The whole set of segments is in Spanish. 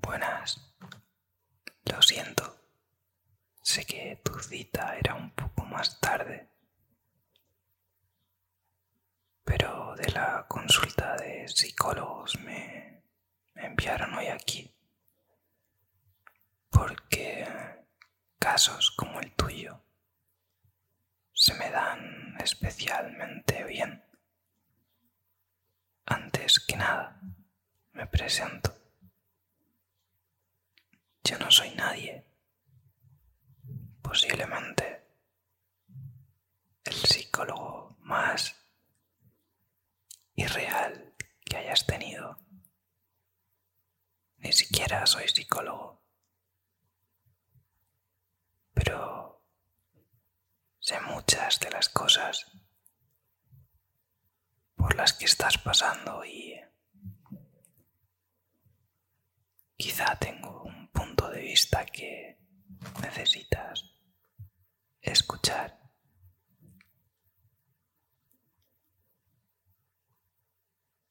Buenas. Lo siento. Sé que tu cita era un poco más tarde. Pero de la consulta de psicólogos me, enviaron hoy aquí. Porque casos como el tuyo se me dan especialmente bien. Antes que nada, me presento. Yo no soy nadie. Posiblemente el psicólogo más irreal que hayas tenido. Ni siquiera soy psicólogo. Pero sé muchas de las cosas por las que estás pasando y quizá tengo un punto de vista que necesitas escuchar.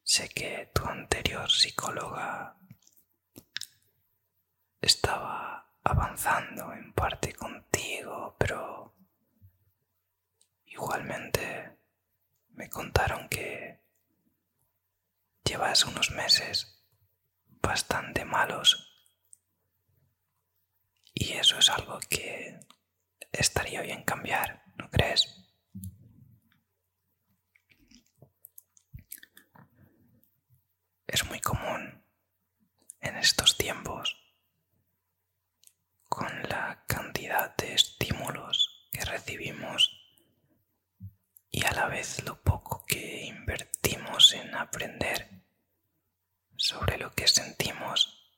Sé que tu anterior psicóloga estaba avanzando en parte contigo, pero igualmente me contaron que llevas unos meses bastante malos y eso es algo que estaría bien cambiar, ¿no crees? es muy común en estos tiempos con la cantidad de estímulos que recibimos y a la vez lo poco que invertimos en aprender sobre lo que sentimos,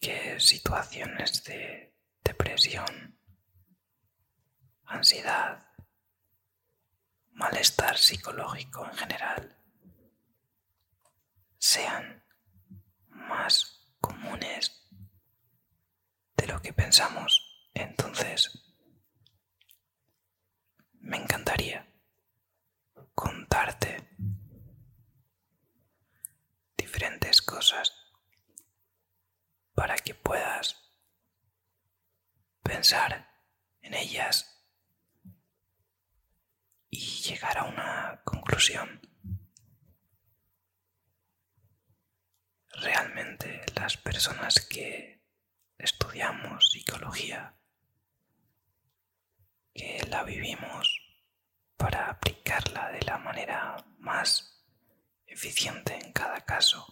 que situaciones de depresión, ansiedad, malestar psicológico en general sean más comunes de lo que pensamos. Entonces, me encantaría contarte diferentes cosas para que puedas pensar en ellas y llegar a una conclusión. Realmente las personas que estudiamos psicología, que la vivimos para aplicarla de la manera más eficiente en cada caso,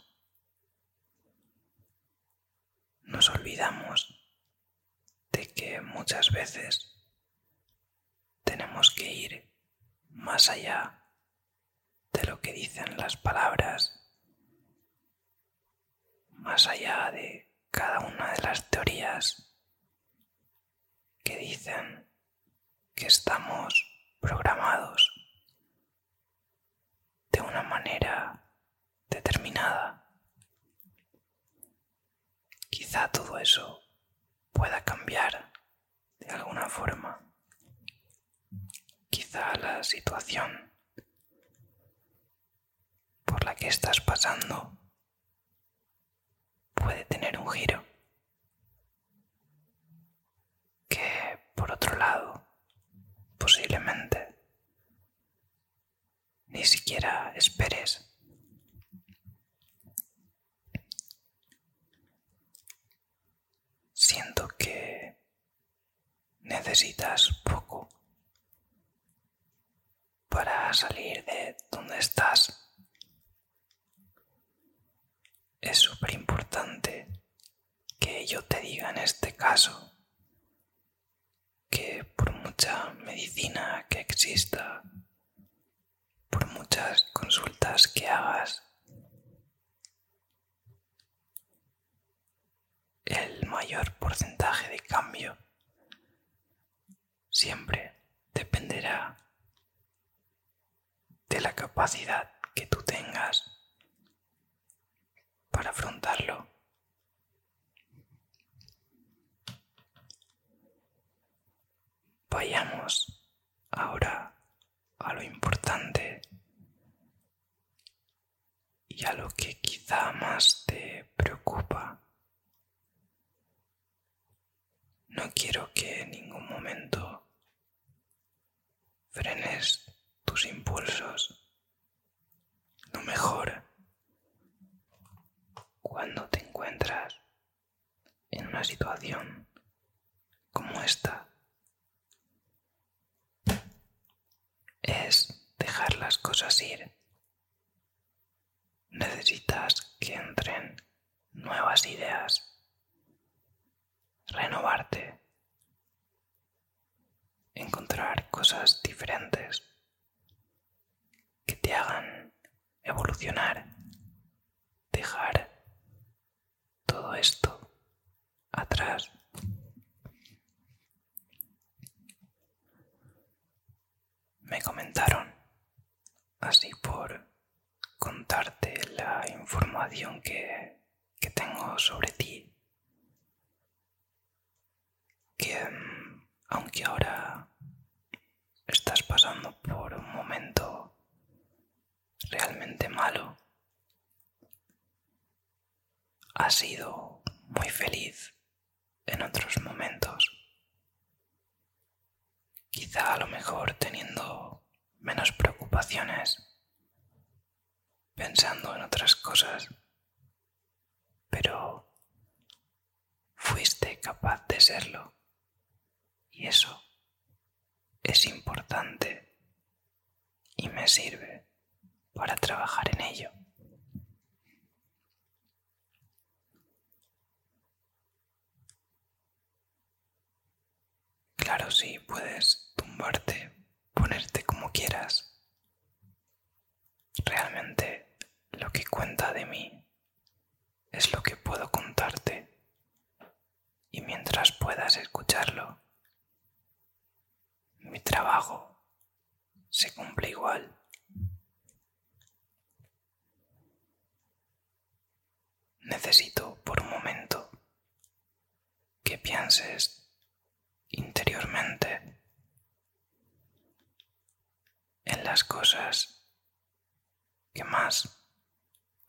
nos olvidamos de que muchas veces tenemos que ir más allá de lo que dicen las palabras, más allá de cada una de las teorías que dicen que estamos programados de una manera determinada. Quizá todo eso pueda cambiar de alguna forma. Quizá la situación por la que estás pasando puede tener un giro que, por otro lado, posiblemente ni siquiera esperes. Siento que necesitas poco para salir de donde estás. Es súper importante que yo te diga en este caso que por mucha medicina que exista, por muchas consultas que hagas, el mayor porcentaje de cambio siempre dependerá de la capacidad que tú tengas para afrontarlo. Vayamos ahora a lo importante y a lo que quizá más te preocupa. No quiero que en ningún momento frenes tus impulsos. Lo mejor cuando te encuentras en una situación como esta es dejar las cosas ir. Necesitas que entren nuevas ideas, renovarte, encontrar cosas diferentes que te hagan evolucionar, dejar todo esto atrás. Me comentaron, así por contarte la información que que tengo sobre ti, que em, aunque ahora estás pasando por un momento realmente malo, has sido muy feliz en otros momentos. Quizá a lo mejor teniendo menos preocupaciones pensando en otras cosas, pero fuiste capaz de serlo y eso es importante y me sirve para trabajar en ello. Claro, sí, puedes tumbarte ponerte como quieras. Realmente lo que cuenta de mí es lo que puedo contarte. Y mientras puedas escucharlo, mi trabajo se cumple igual. Necesito por un momento que pienses interiormente en las cosas que más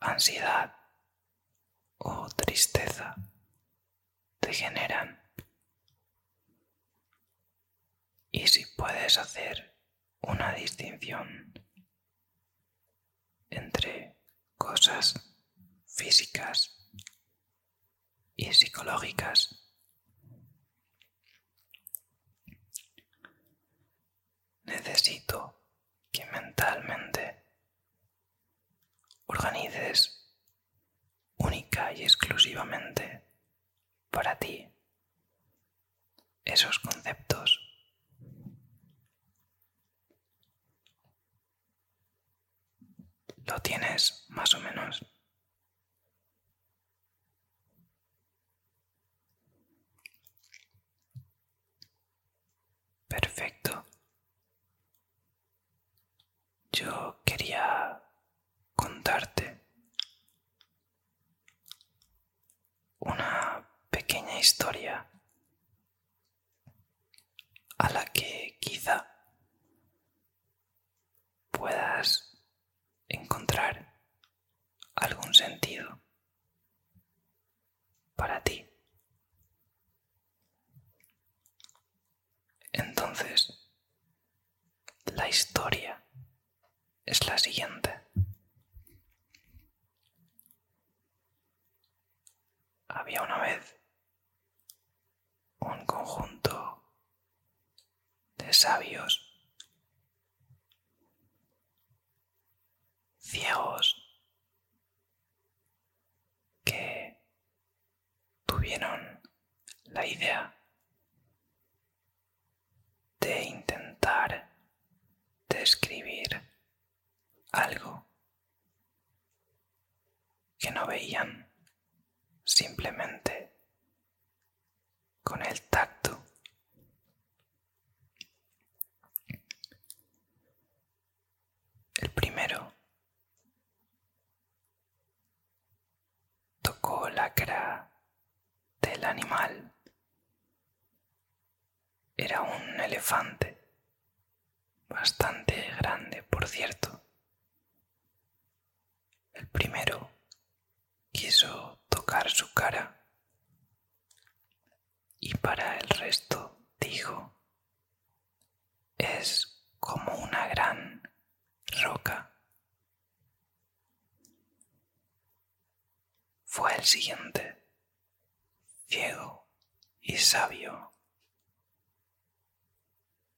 ansiedad o tristeza te generan. Y si puedes hacer una distinción entre cosas físicas y psicológicas. Necesito que mentalmente organices única y exclusivamente para ti esos conceptos ¿Lo tienes más o menos? Perfecto. Yo quería contarte una pequeña historia a la que quizá puedas encontrar algún sentido para ti. Entonces, la historia es la siguiente. Había una vez un conjunto de sabios ciegos que tuvieron la idea de intentar describir algo que no veían simplemente con el tacto. El primero tocó la cara del animal. Era un elefante bastante grande, por cierto. El primero quiso tocar su cara y para el resto dijo, es como una gran roca. Fue el siguiente, ciego y sabio,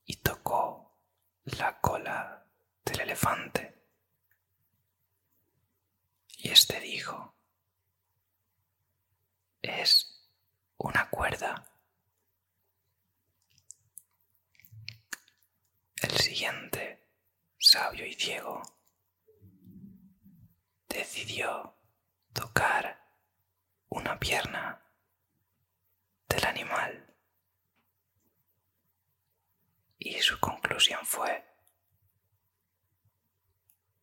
y tocó la cola del elefante. Y éste dijo, es una cuerda. El siguiente, sabio y ciego, decidió tocar una pierna del animal. Y su conclusión fue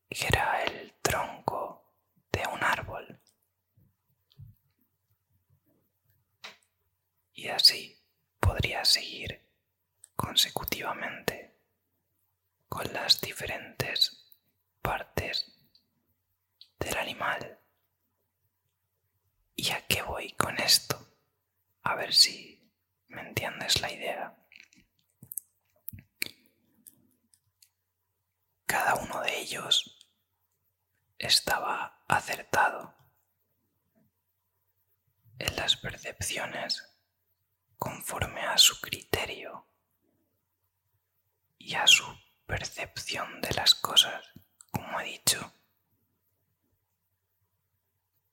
que era el tronco de un árbol. Y así podría seguir consecutivamente con las diferentes partes del animal. ¿Y a qué voy con esto? A ver si me entiendes la idea. Cada uno de ellos estaba acertado en las percepciones conforme a su criterio y a su percepción de las cosas, como he dicho.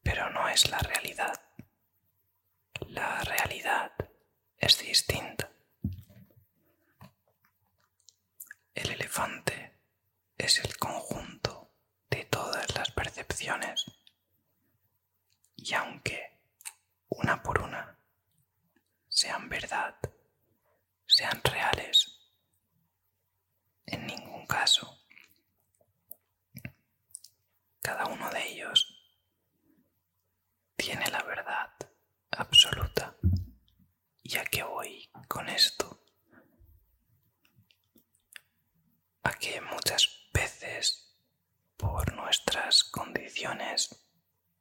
Pero no es la realidad. La realidad es distinta. El elefante es el conjunto de todas las percepciones y aunque una por una sean verdad, sean reales. En ningún caso. Cada uno de ellos tiene la verdad absoluta. ¿Y a qué voy con esto? A que muchas veces, por nuestras condiciones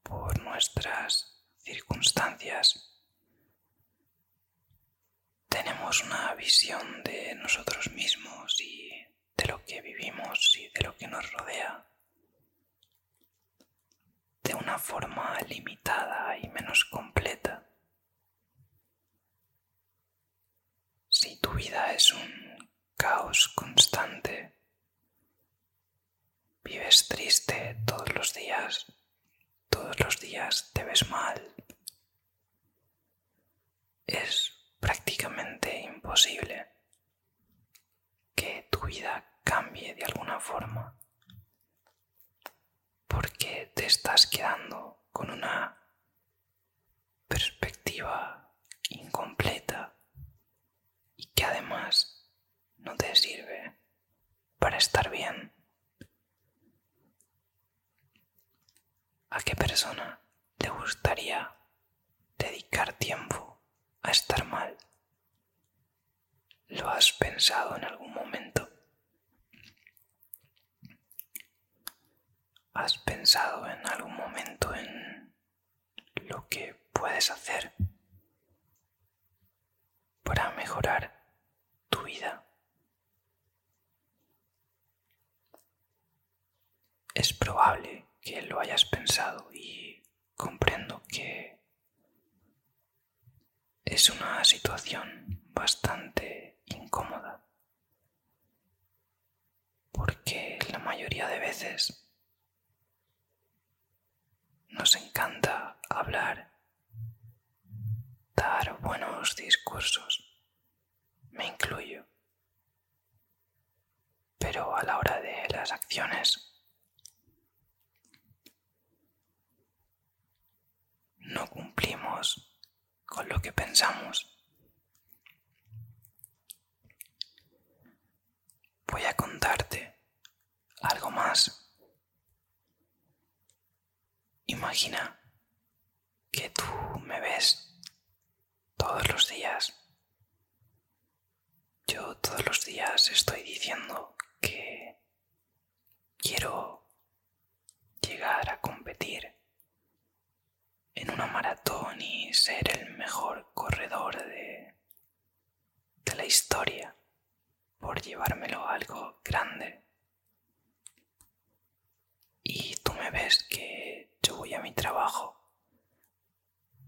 por nuestras circunstancias, tenemos una visión de nosotros mismos y de lo que vivimos y de lo que nos rodea de una forma limitada y menos completa. Si tu vida es un caos constante, Vives triste todos los días, todos los días te ves mal. Es prácticamente imposible que tu vida cambie de alguna forma porque te estás quedando con una perspectiva incompleta y que además no te sirve para estar bien. ¿A qué persona te gustaría dedicar tiempo a estar mal? ¿Lo has pensado en algún momento? ¿Has pensado en algún momento en lo que puedes hacer para mejorar tu vida. Es probable que lo hayas pensado y comprendo que es una situación bastante incómoda porque la mayoría de veces nos encanta hablar, dar buenos discursos, me incluyo. Pero a la hora de las acciones, no cumplimos con lo que pensamos voy a contarte algo más. Imagina que tú me ves todos los días. Yo todos los días estoy diciendo que quiero llegar a competir en una maratón y ser el mejor corredor de de la historia por llevármelo algo grande. Y tú me ves que yo voy a mi trabajo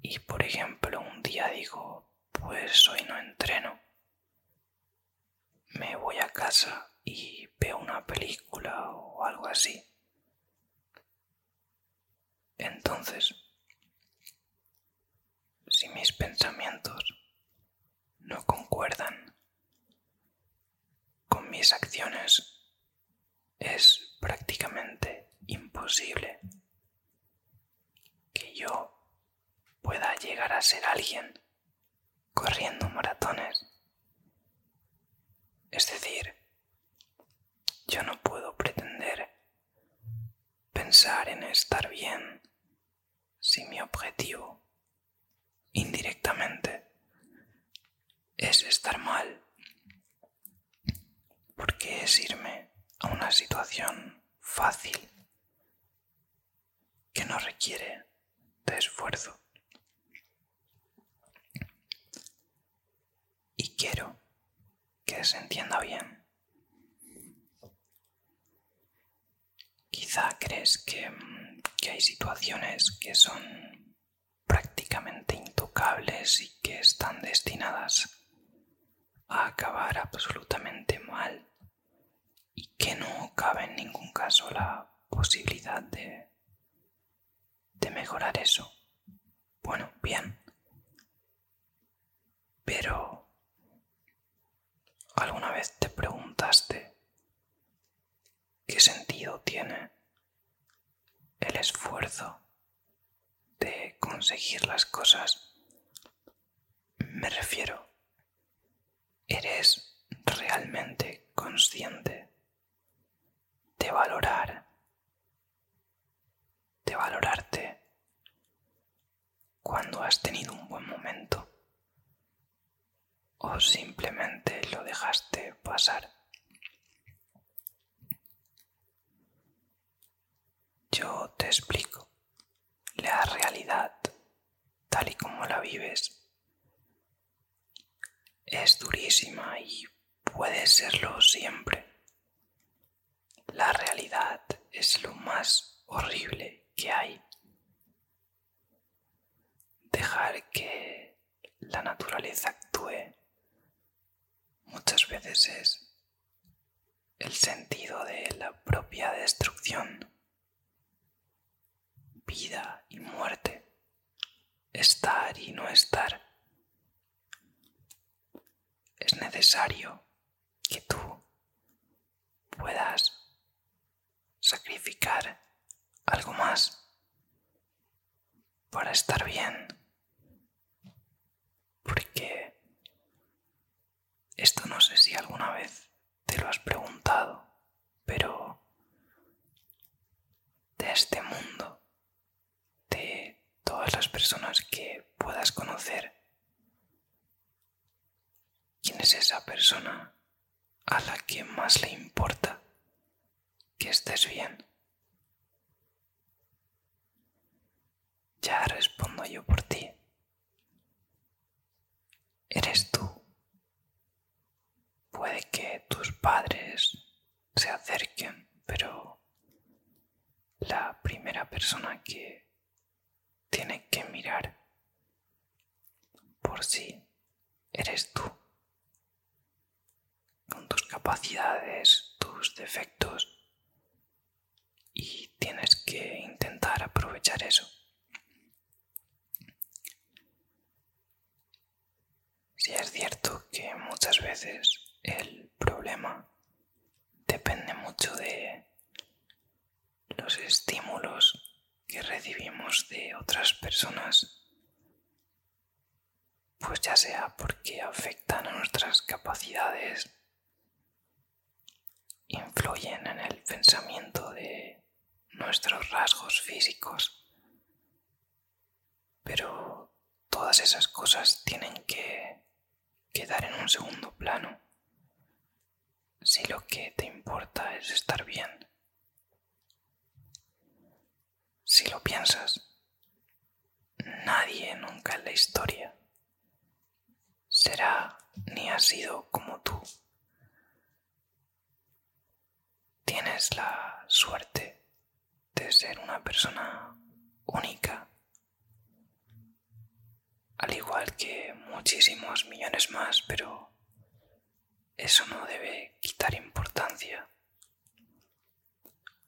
y por ejemplo un día digo, pues hoy no entreno. Me voy a casa y veo una película o algo así. Entonces, si mis pensamientos no concuerdan con mis acciones, es prácticamente imposible que yo pueda llegar a ser alguien corriendo maratones. Es decir, yo no puedo pretender pensar en estar bien si mi objetivo indirectamente es estar mal, porque es irme a una situación fácil que no requiere de esfuerzo. Y quiero que se entienda bien. Quizá crees que, hay situaciones que son prácticamente intocables y que están destinadas a acabar absolutamente mal y que no cabe en ningún caso la posibilidad de mejorar eso. Bueno, bien. Pero, ¿alguna vez te preguntaste qué sentido tiene el esfuerzo de conseguir las cosas? Me refiero, ¿eres realmente consciente de valorar, de valorarte cuando has tenido un buen momento o simplemente lo dejaste pasar. Yo te explico. La realidad, tal y como la vives, es durísima y puede serlo siempre. La realidad es lo más horrible que hay. Dejar que la naturaleza actúe muchas veces es el sentido de la propia destrucción. Vida y muerte. Estar y no estar. Es necesario que tú puedas sacrificar algo más para estar bien. Porque esto no sé si alguna vez te lo has preguntado, pero de este mundo, de todas las personas que puedas conocer, ¿Quién es esa persona a la que más le importa que estés bien? Ya respondo yo por ti. Eres tú. Puede que tus padres se acerquen, pero la primera persona que tiene que mirar por si eres tú, con tus capacidades, tus defectos, y tienes que intentar aprovechar eso. Si es cierto que muchas veces el problema depende mucho de los estímulos que recibimos de otras personas, pues ya sea porque afectan a nuestras capacidades, influyen en el pensamiento de nuestros rasgos físicos, pero todas esas cosas tienen que quedar en un segundo plano si lo que te importa es estar bien. Si lo piensas, nadie nunca en la historia será ni ha sido como tú. Tienes la suerte de ser una persona única al igual que muchísimos millones más, pero eso no debe quitar importancia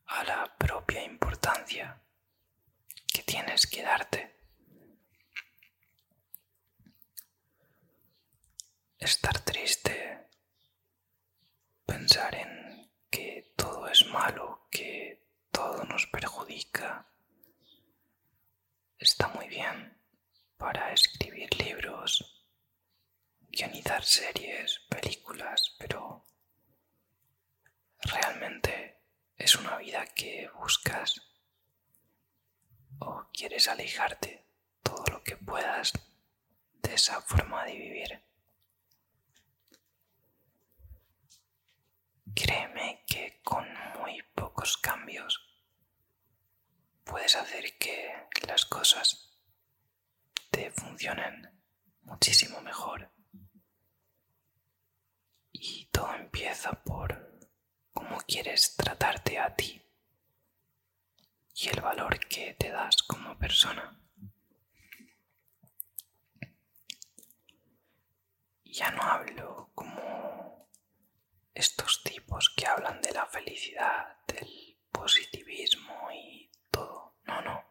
a la propia importancia que tienes que darte. Estar triste, pensar en que todo es malo, que todo nos perjudica está muy bien para escribir libros, guionizar series, películas, pero realmente es una vida que buscas o quieres alejarte todo lo que puedas de esa forma de vivir. Créeme que con muy pocos cambios puedes hacer que las cosas te funcionen muchísimo mejor. Y todo empieza por cómo quieres tratarte a ti y el valor que te das como persona ya no hablo como estos tipos que hablan de la felicidad, del positivismo y todo. No, no.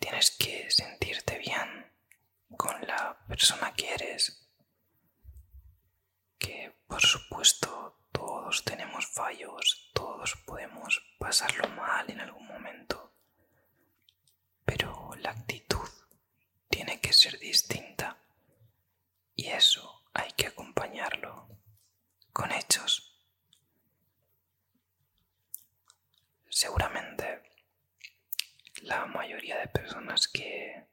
Tienes que sentirte bien con la persona que eres. Que por supuesto todos tenemos fallos, todos podemos pasarlo mal en algún momento pero la actitud tiene que ser distinta y eso hay que acompañarlo con hechos. Seguramente la mayoría de personas que,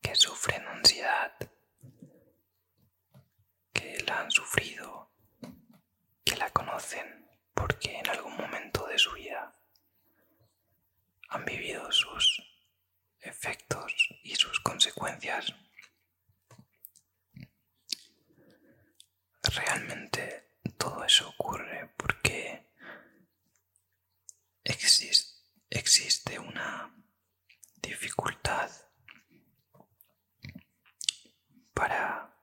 que sufren ansiedad, que la han sufrido que la conocen porque en algún momento de su vida han vivido sus efectos y sus consecuencias. Realmente todo eso ocurre porque existe, una dificultad para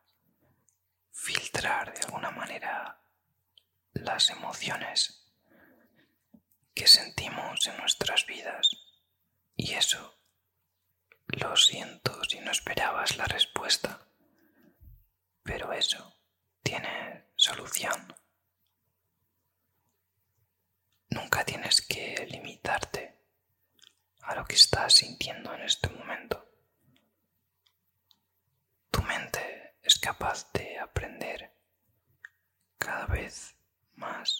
filtrar de alguna manera las emociones que sentimos en nuestras vidas. Y eso, lo siento si no esperabas la respuesta, pero eso tiene solución. Nunca tienes que limitarte a lo que estás sintiendo en este momento. Tu mente es capaz de aprender cada vez más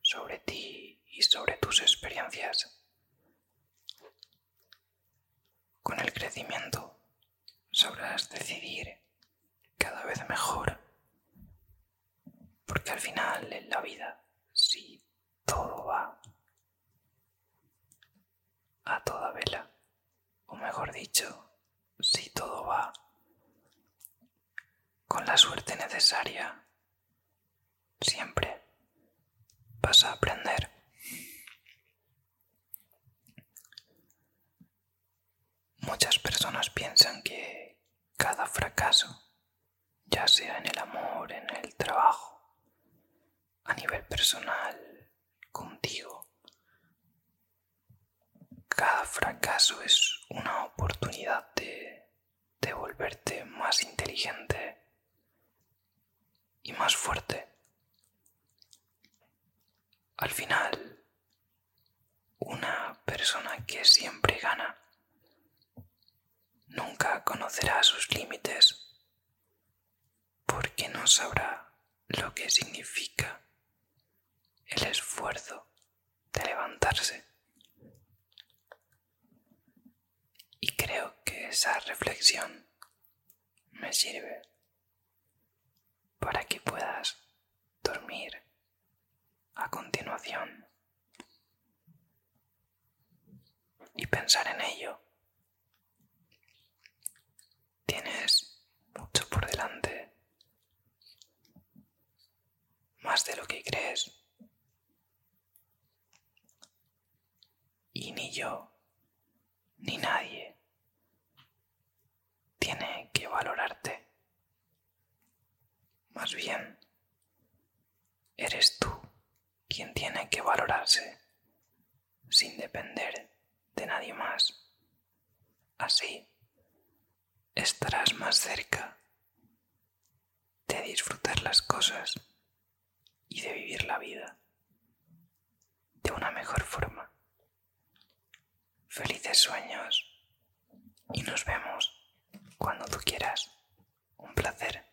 sobre ti y sobre tus experiencias. Con el crecimiento sabrás decidir cada vez mejor, porque al final en la vida, si todo va a toda vela, o mejor dicho, si todo va con la suerte necesaria, siempre vas a aprender. Muchas personas piensan que cada fracaso, ya sea en el amor, en el trabajo, a nivel personal contigo. Cada fracaso es una oportunidad de, volverte más inteligente y más fuerte. Al final, una persona que siempre gana nunca conocerá sus límites porque no sabrá lo que significa el esfuerzo de levantarse. Y creo que esa reflexión me sirve para que puedas dormir a continuación y pensar en ello. Tienes mucho por delante, más de lo que crees. Y ni yo, ni nadie, tiene que valorarte. Más bien, eres tú quien tiene que valorarse sin depender de nadie más. Así estarás más cerca de disfrutar las cosas y de vivir la vida de una mejor forma. Felices sueños y nos vemos cuando tú quieras. Un placer.